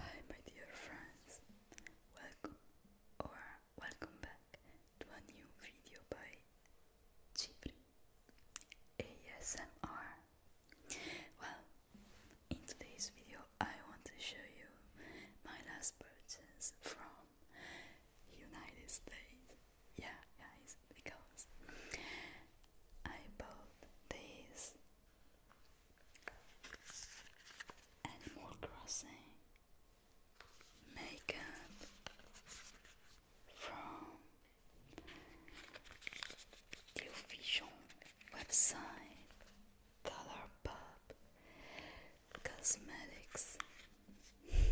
Hi, my dear friends, welcome or welcome back to a new video by Chipri ASMR. Well, in today's video, I want to show you my last purchase from United States yeah, guys, because I bought this Animal Crossing makeup from the official website Colourpop Cosmetics.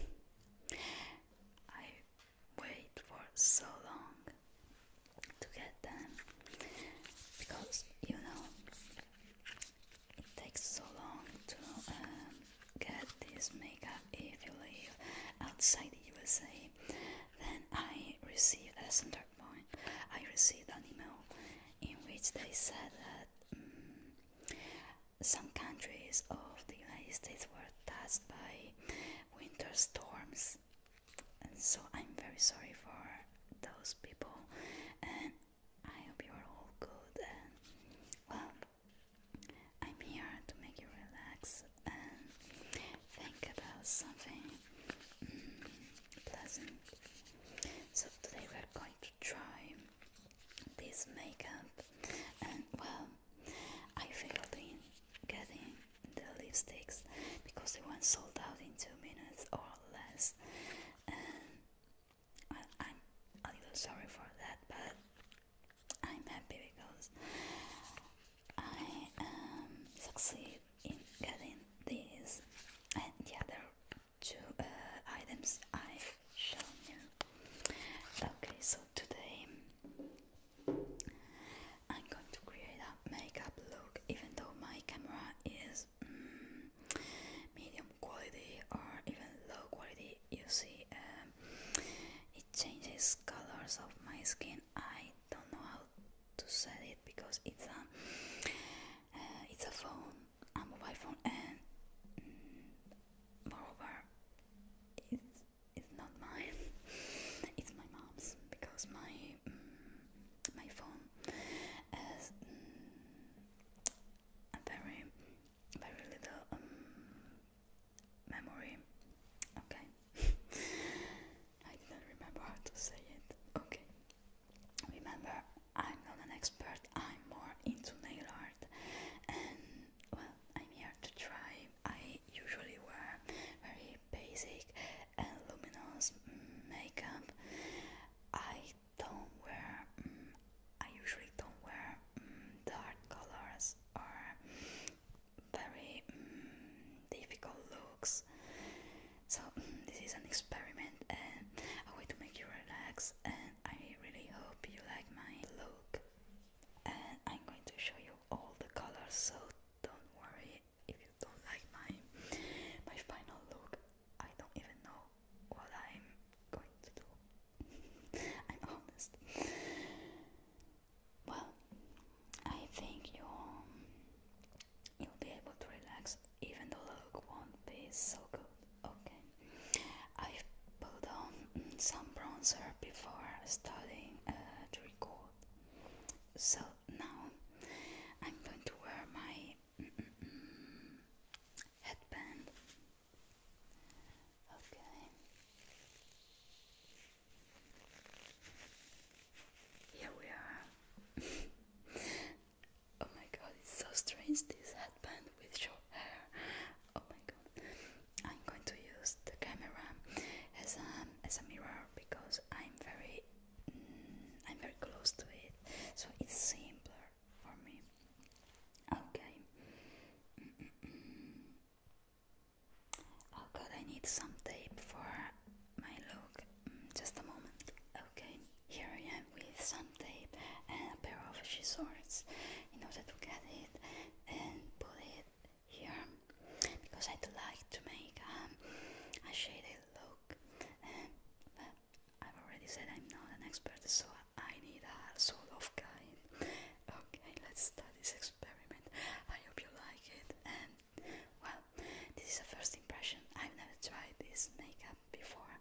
I wait for so long to get them because you know it takes so long to um, get this makeup if you live outside the USA. Then I received a center point. I received an email in which they said that mm, some countries of the United States were touched by winter storms. so I'm very sorry for those people, and I hope you're all good. And well, I'm here to make you relax and think about something mm, pleasant. So today we're going to try this makeup, and well, I failed in getting the lipsticks because they went sold out in two minutes or less and I, am a little sorry for that but I'm happy because I um, succeed in getting these and the other two uh, items I shown you. Okay, so today I'm going to create a makeup look even though my camera is mm, medium quality or even low quality. You see, um, it changes colors of my skin. I don't know how to say it because it's a uh, it's a phone, a mobile phone, and mm, moreover, it's it's not mine. it's my mom's because my mm, my phone has mm, a very very little um, memory. Okay, I didn't remember how to say it. Okay, remember I'm not an expert. I'm more into nail art and well, I'm here to try. I usually wear very basic and luminous makeup. I don't wear. Mm, I usually don't wear mm, dark colors or very mm, difficult looks. So this is an experiment and a way to make you relax. And I really hope you like my look. And I'm going to show you all the colors. So don't worry if you don't like my my final look. I don't even know what I'm going to do. I'm honest. Well, I think you you'll be able to relax, even though the look won't be so good. Okay, i put on some bronzer before starting uh, to record. So now I'm going to wear my headband. Okay. Here we are. oh my god, it's so strange this headband with short hair. Oh my god. I'm going to use the camera as a as a mirror because I'm very mm, I'm very close to it, so it's simpler for me. Okay. Oh god, I need some tape for my look. Mm, just a moment. Okay, here I am with some tape and a pair of scissors in order to get it and put it here because I'd like to make um, a shaded look. Um, but I've already said I'm not an expert, so I need a soul of kind. Okay, let's start this experiment. I hope you like it. And um, well, this is a first impression. I've never tried this makeup before,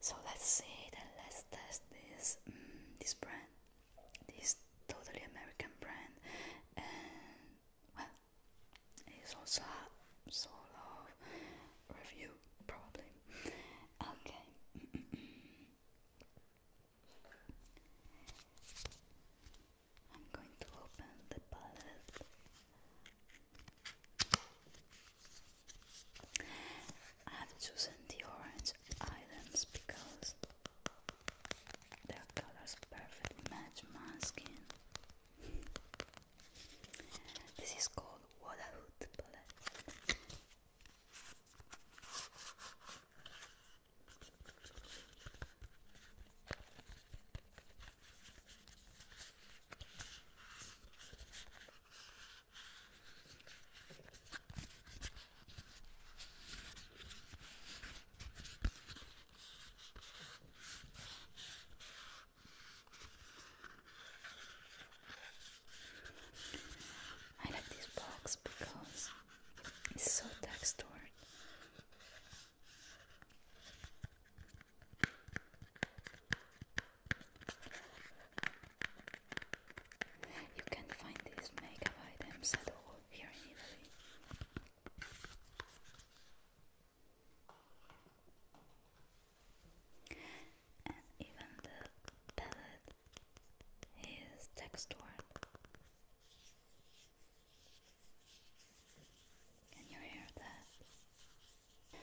so let's see it let's test this mm, this brand this totally American brand, and well, it's also a sort of review, probably. Okay. I'm going to open the palette. I have chosen the orange items because their colors perfectly match my skin. this is called Wadahood palette. I like this box because it's so textured. You can find these makeup items at all here even the palette is textured. Can you hear that?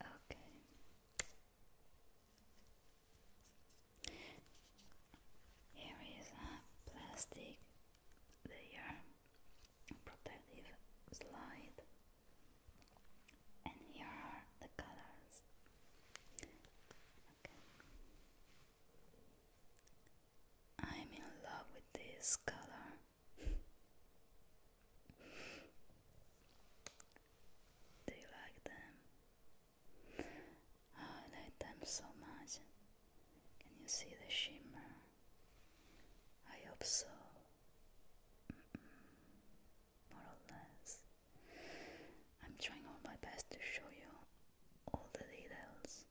Okay. Here is a plastic layer, protective slide, and here are the colors. Okay. I'm in love with this color. Do you like them? Oh, I like them so much. Can you see the shimmer? I hope so. more or less. I'm trying all my best to show you all the details.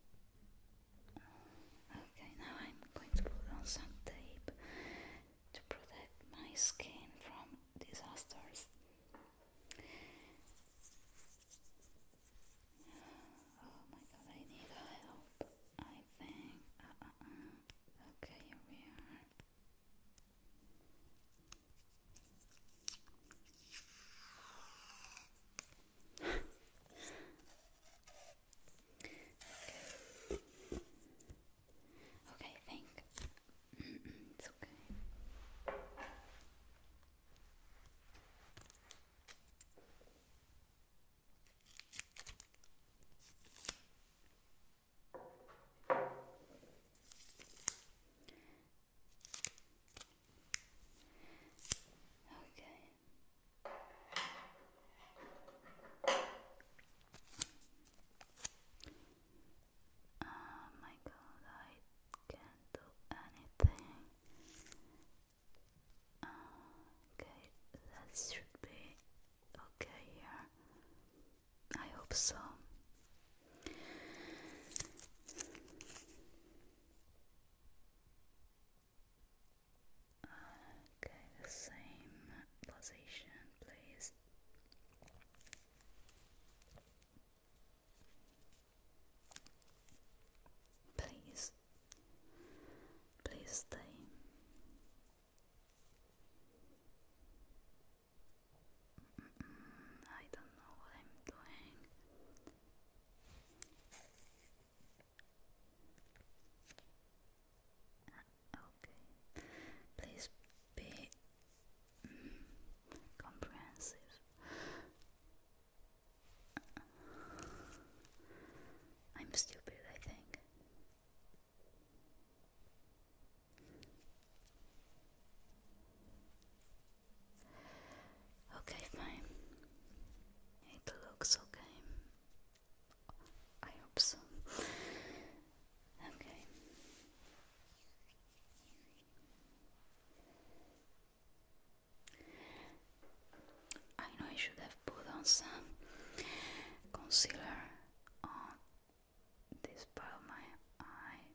Okay, now I'm going to put on some tape to protect my skin from disasters. Oh my god, I need help. I think. Okay, here we are okay. Okay, it's okay. Okay. Oh my god, I can't do anything. Okay, that should be okay here. I hope so. Okay, the same position, please. Please, please stay. I don't know what I'm doing. Please be mm, comprehensive. I'm stupid, I think. Okay, fine. It looks okay. I hope so. Okay. I know I should have put on some concealer on this part of my eye,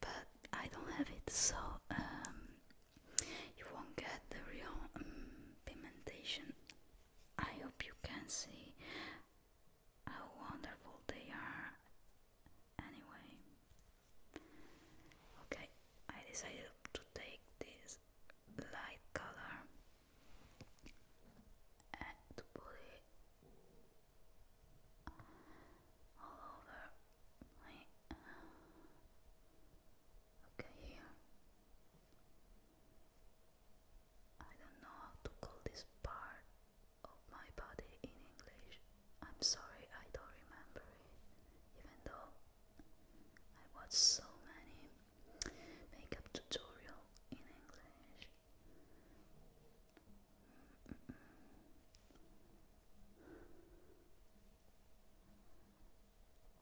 but I don't have it, so um, you won't get the real um, pigmentation. I hope you can see how wonderful they are. Anyway, okay, I decided to take this light color and to put it all over Okay, I don't know how to call this part of my body in English. I'm sorry, I don't remember it, even though I watched so many makeup tutorial in English.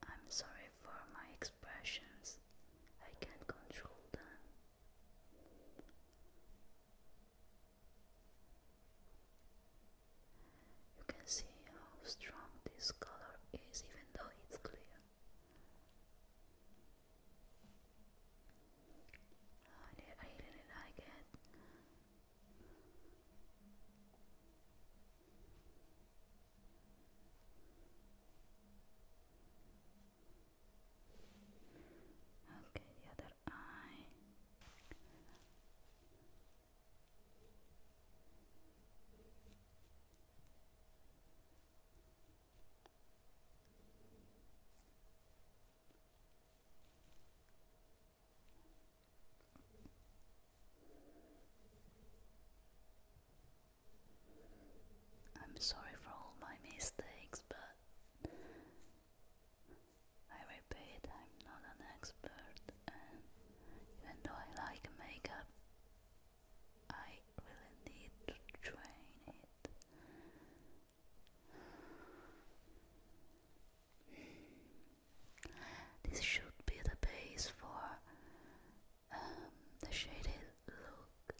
I'm sorry for my expressions. I can't control them. You can see how strong this color is, even though it's clear. I really like it. Okay, the other eye. I'm sorry for all my mistakes, but I repeat, I'm not an expert, and even though I like makeup, I really need to train it. This should be the base for um, the shaded look.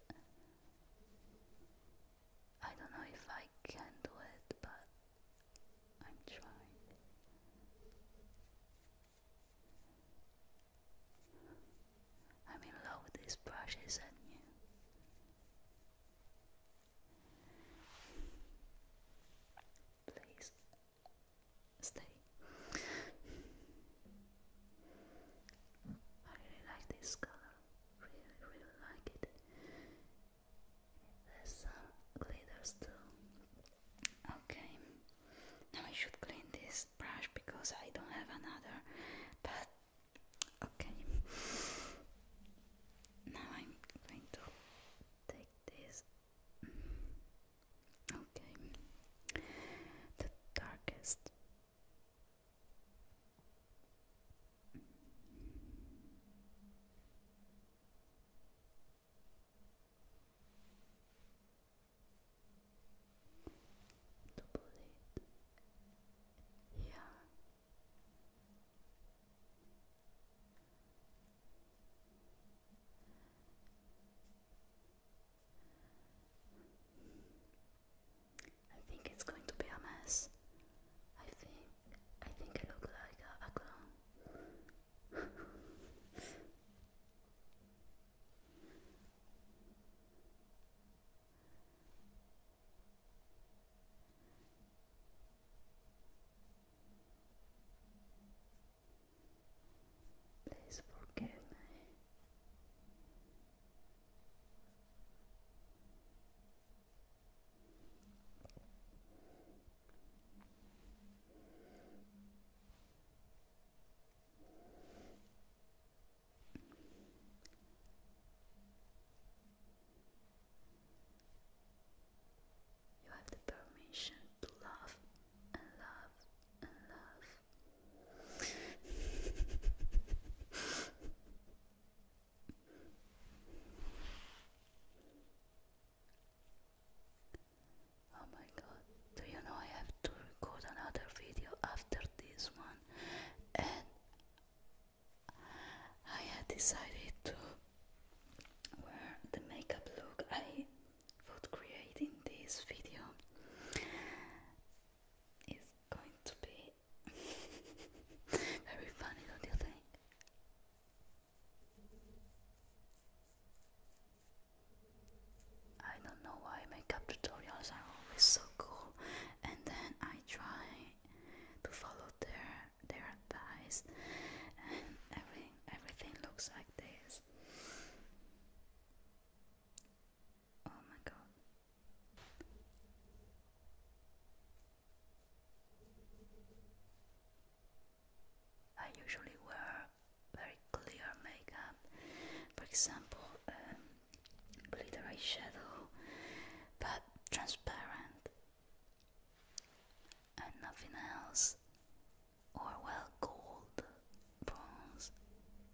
I don't know if I can do it, but I'm trying. I'm in love with these brushes and you. Please stay. I really like this color, really, really like it. There's some glitters too. Okay, now I should clean this brush because I don't have another, but okay. Now I'm going to take this Okay. The darkest. Double Yeah. I think it's going to be a mess. I think I think I look like a, clown. Please forgive me. You have the permission to love and love and love. oh my god, do you know I have to record another video after this one? And I had decided to wear the makeup look I for creating this video is going to be very funny, don't you think? I don't know why makeup tutorials are always so cool and then I try to follow their their advice and everything everything looks like this Oh my god. I usually wear very clear makeup, for example, um, glitter eyeshadow, but transparent and nothing else or well gold, bronze,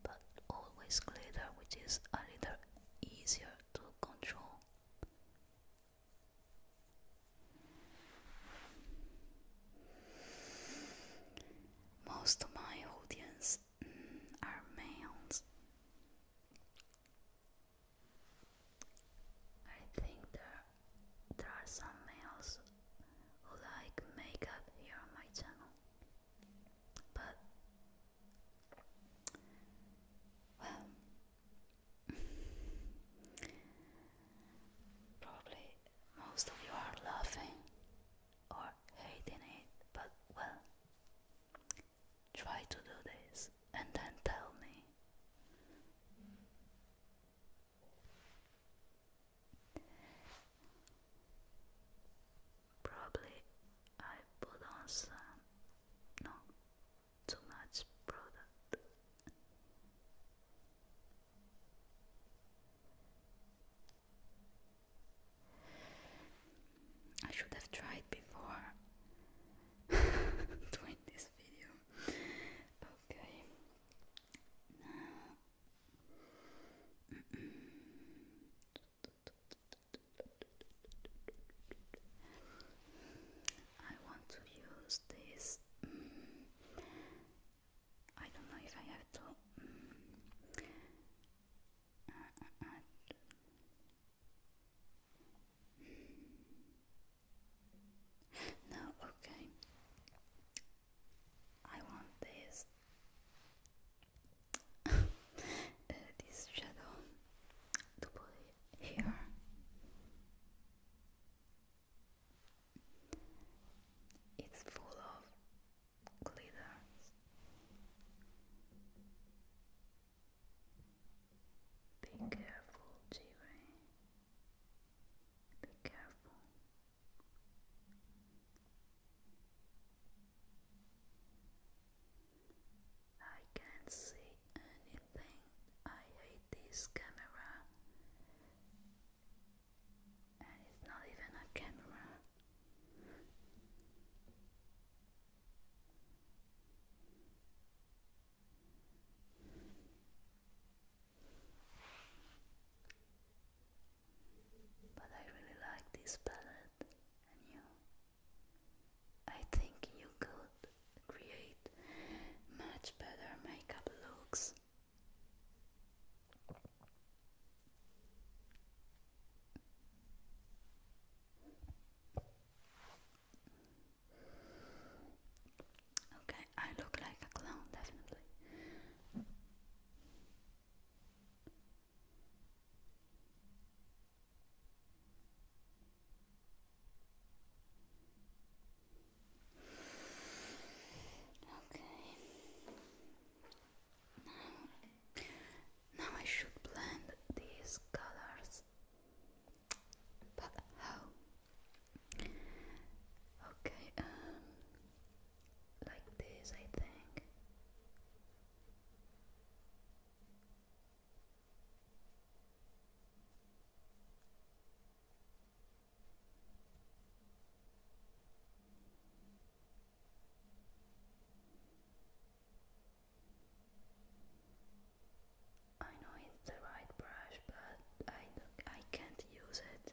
but always glitter, which is a little easier to control. Most of my audience mm, are males. I think there there are some males who like makeup here on my channel. But well probably most of you are laughing or hating it, but well try to do this and then tell me Probably I put on some, no, too much product. I should have tried before doing this video. Okay, I want to use this. Mm. I don't know if I have to. Mm. Uh, uh, uh. no, okay. I want this uh, this shadow to it here. It's full of glitters. Be careful, Jimmy. Be careful. I can't see anything. I hate this camera. And it's not even a camera. But I really like this palette, and you. I think you could create much better makeup looks. Okay, I look like a clown, definitely. Okay. Now, I should blend these colors. But how? Okay, um, like this, I think. I know it's the right brush, but I, I can't use it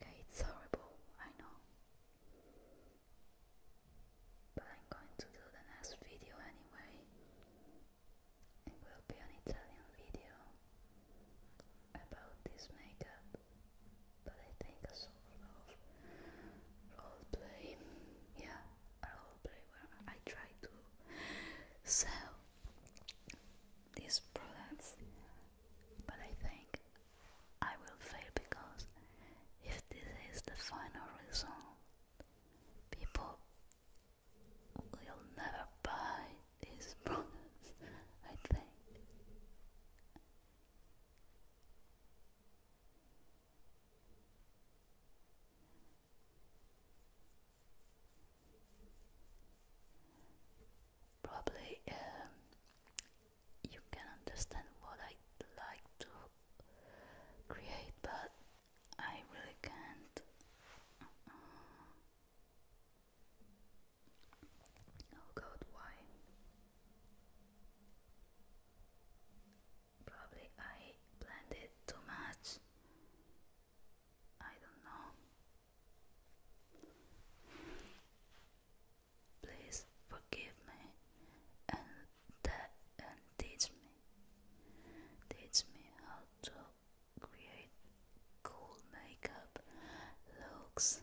Okay, it's horrible, I know. But I'm going to do the next video anyway. It will be an Italian video about this makeup, but I think a sort of roleplay, yeah a role I try to sell these products, but I think I will fail because if this is the final result, people will never buy these products, I think. Probably um, you can understand what I like to create, but I really can't. Oh God, why? Probably I blended too much. I don't know. Please forgive me and and teach me. Teach me how to create cool makeup looks.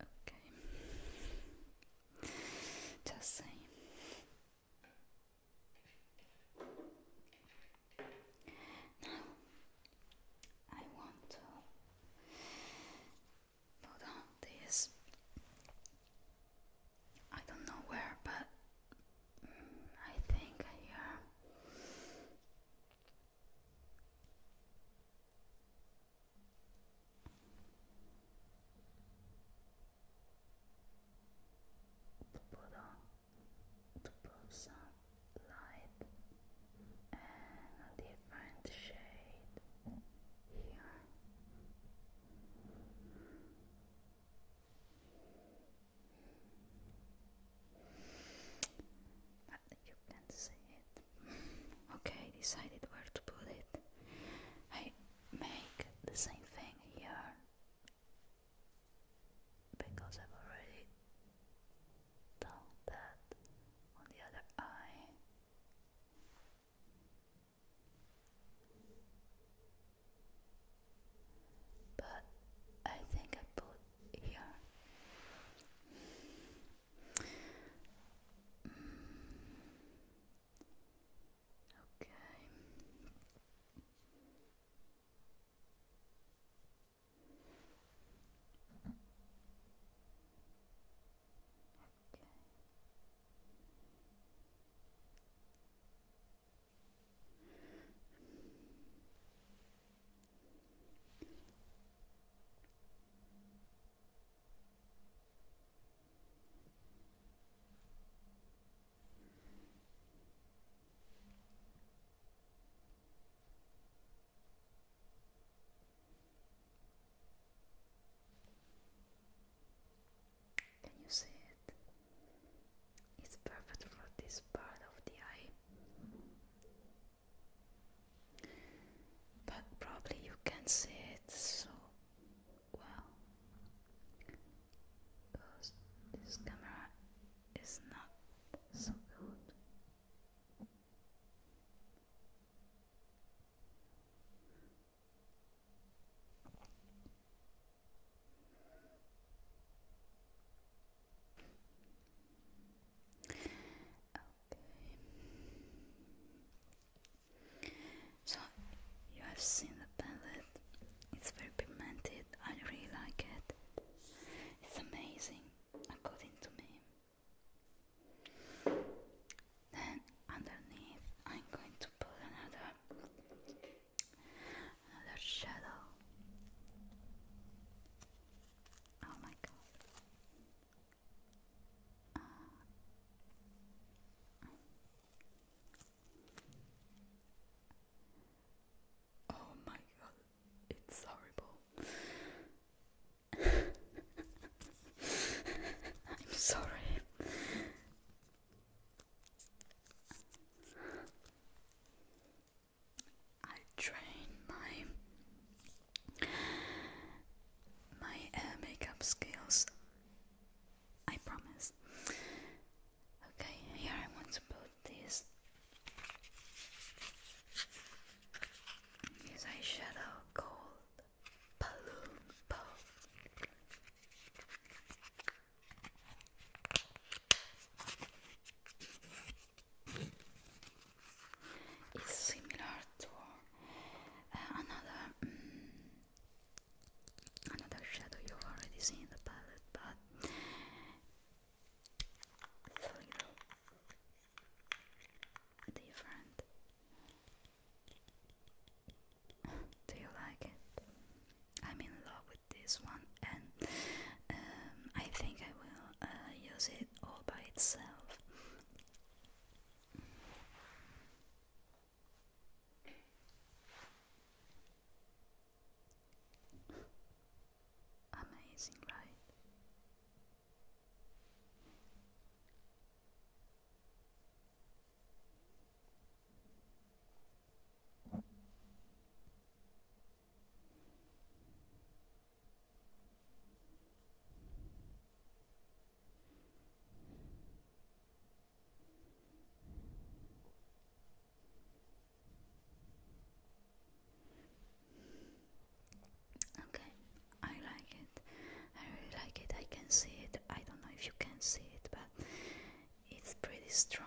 Okay. Just saying. Now I want to put on this. I don't know where, but I think I hear. To put on, to put light and a different shade here. But you can see it. Okay, decided where to put it. I make the same thing here because I've already done that on the other eye but I think I put here. Okay. Okay. Can you see it? It's perfect for this part of the eye. But probably you can see it so well because this camera is not so good. So you have seen the palette. It's very pigmented. I really like it. It's amazing, according to me. Then underneath, I'm going to put another Another shadow. Oh my god. Uh, oh my god, it's horrible. I'm sorry. I train my my uh, makeup skills. I promise. Okay, here I want to put this this eyeshadow called balloon pop. It's similar to uh, another mm, another shadow you've already seen in the palette, but it's a little different. Do you like it? I'm in love with this one, and um, I think I will uh, use it all by itself. Amazing, right? Okay, I like it. I really like it. I can see it. I don't know if you can see it, but it's pretty strong.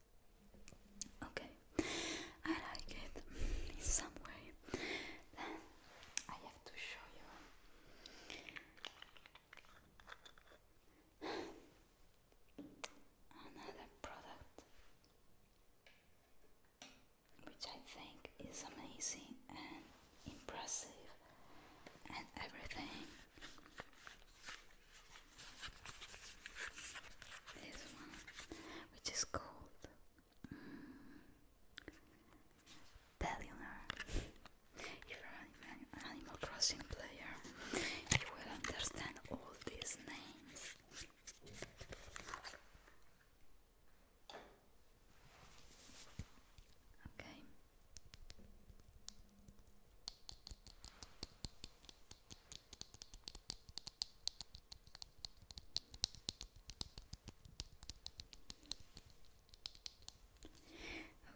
Okay, I like it in some way. Then I have to show you another product which I think is amazing and impressive and everything. This one which is called Bellionaire. Mm, if you're an Animal Crossing player, you will understand all these names. Okay.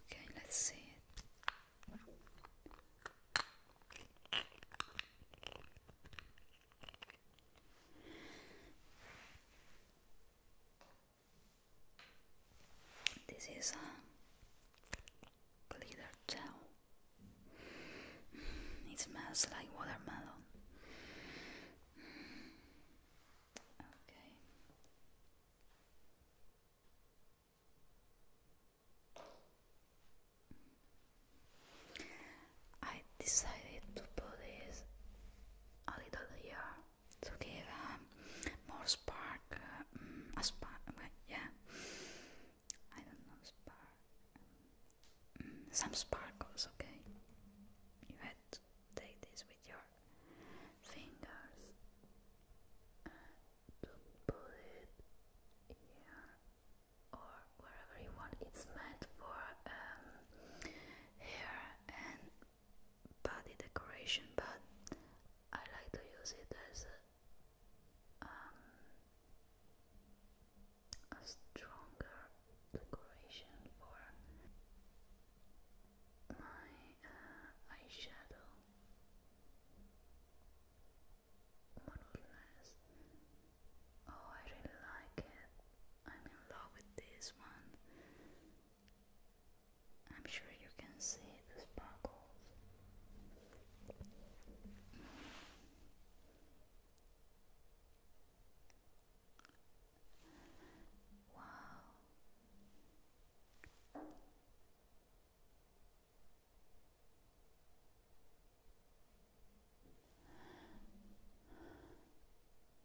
Okay, let's see This is a glitter gel. It smells like watermelon. Okay. I decided to put this a little here to give um, more spark, uh, mm, a spark, yeah, I don't know, mm, some sparkles, okay? You had take this with your fingers to put it here or wherever you want. It's meant for um, hair and body decoration, but I like to use it as um, a stronger decoration for my uh, eyeshadow more oh I really like it I'm in love with this one I'm sure you can see the sparkles Wow.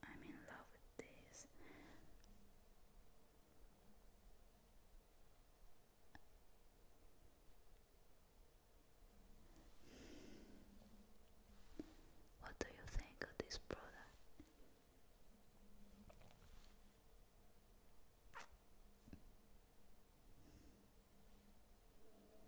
I'm in love with this. What do you think of this product? A little more.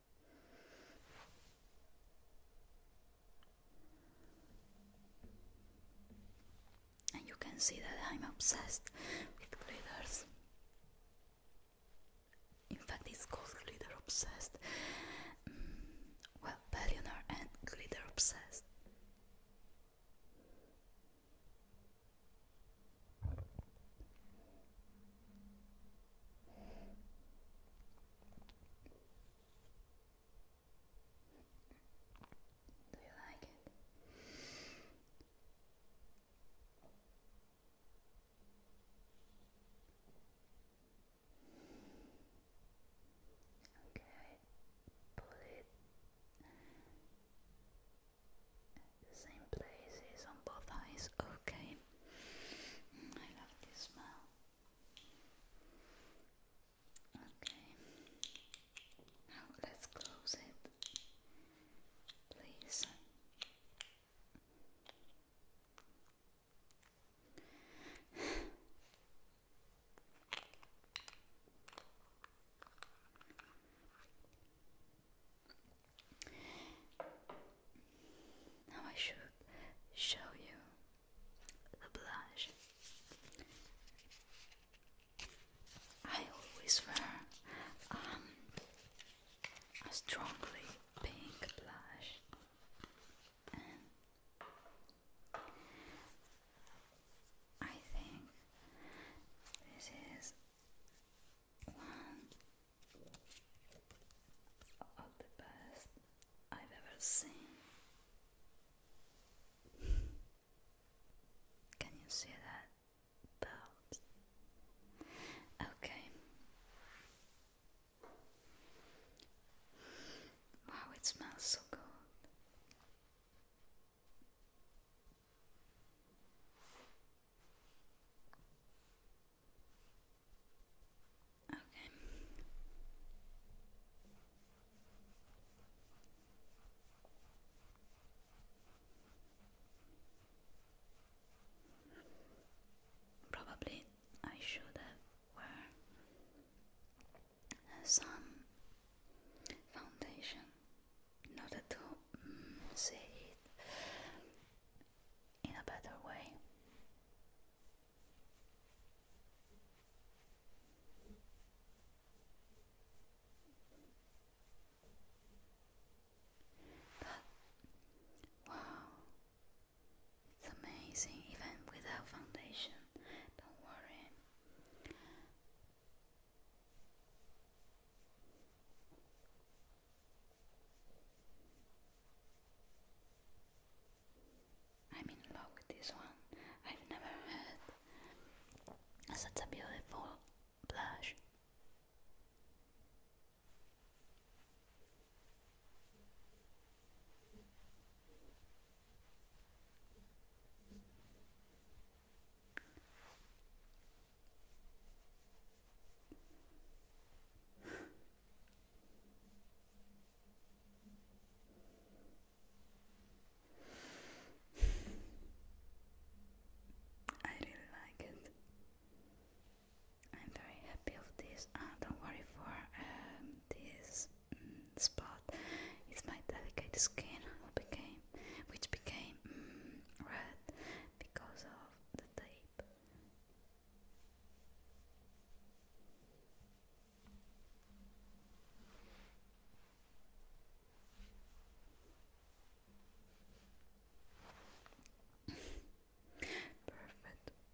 And you can see that I'm obsessed with glitters. In fact, it's called glitter obsessed. Mm, well, billionaire and glitter obsessed. Do you like it? Okay, put it same places on both eyes. Okay. I love this smell. Okay, now let's close it, please. Now I should show you the blush. I always wear um, a strongly pink blush, I think this is one of the best I've ever seen. Can you see that belt? Okay. Wow, it smells so good. Okay. Probably I should have wear some foundation in order to see it in a better way. But, wow, it's amazing even without foundation. Don't worry. I'm in love with this one. I've never had such a beautiful blush. I really like it. I'm very happy of this. Ah, don't worry for um, this mm, spot. It's my delicate skin which became mm, red because of the tape. Perfect,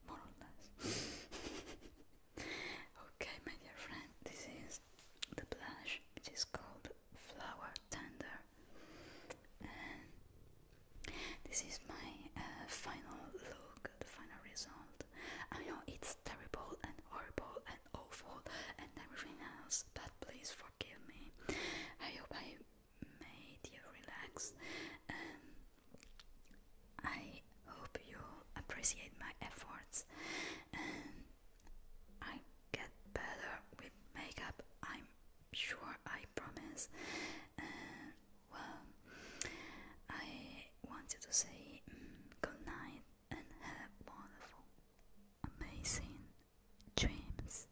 more or less. okay, my dear friend, this is the blush, which is called Flower Tender, and this is my uh, final look, the final result. I know it's terrible and horrible and awful and everything else, but please forgive me. I hope I made you relax and I hope you appreciate my efforts. And I get better with makeup, I'm sure, I promise. Um, well, I wanted to say mm, good night and have wonderful, amazing dreams.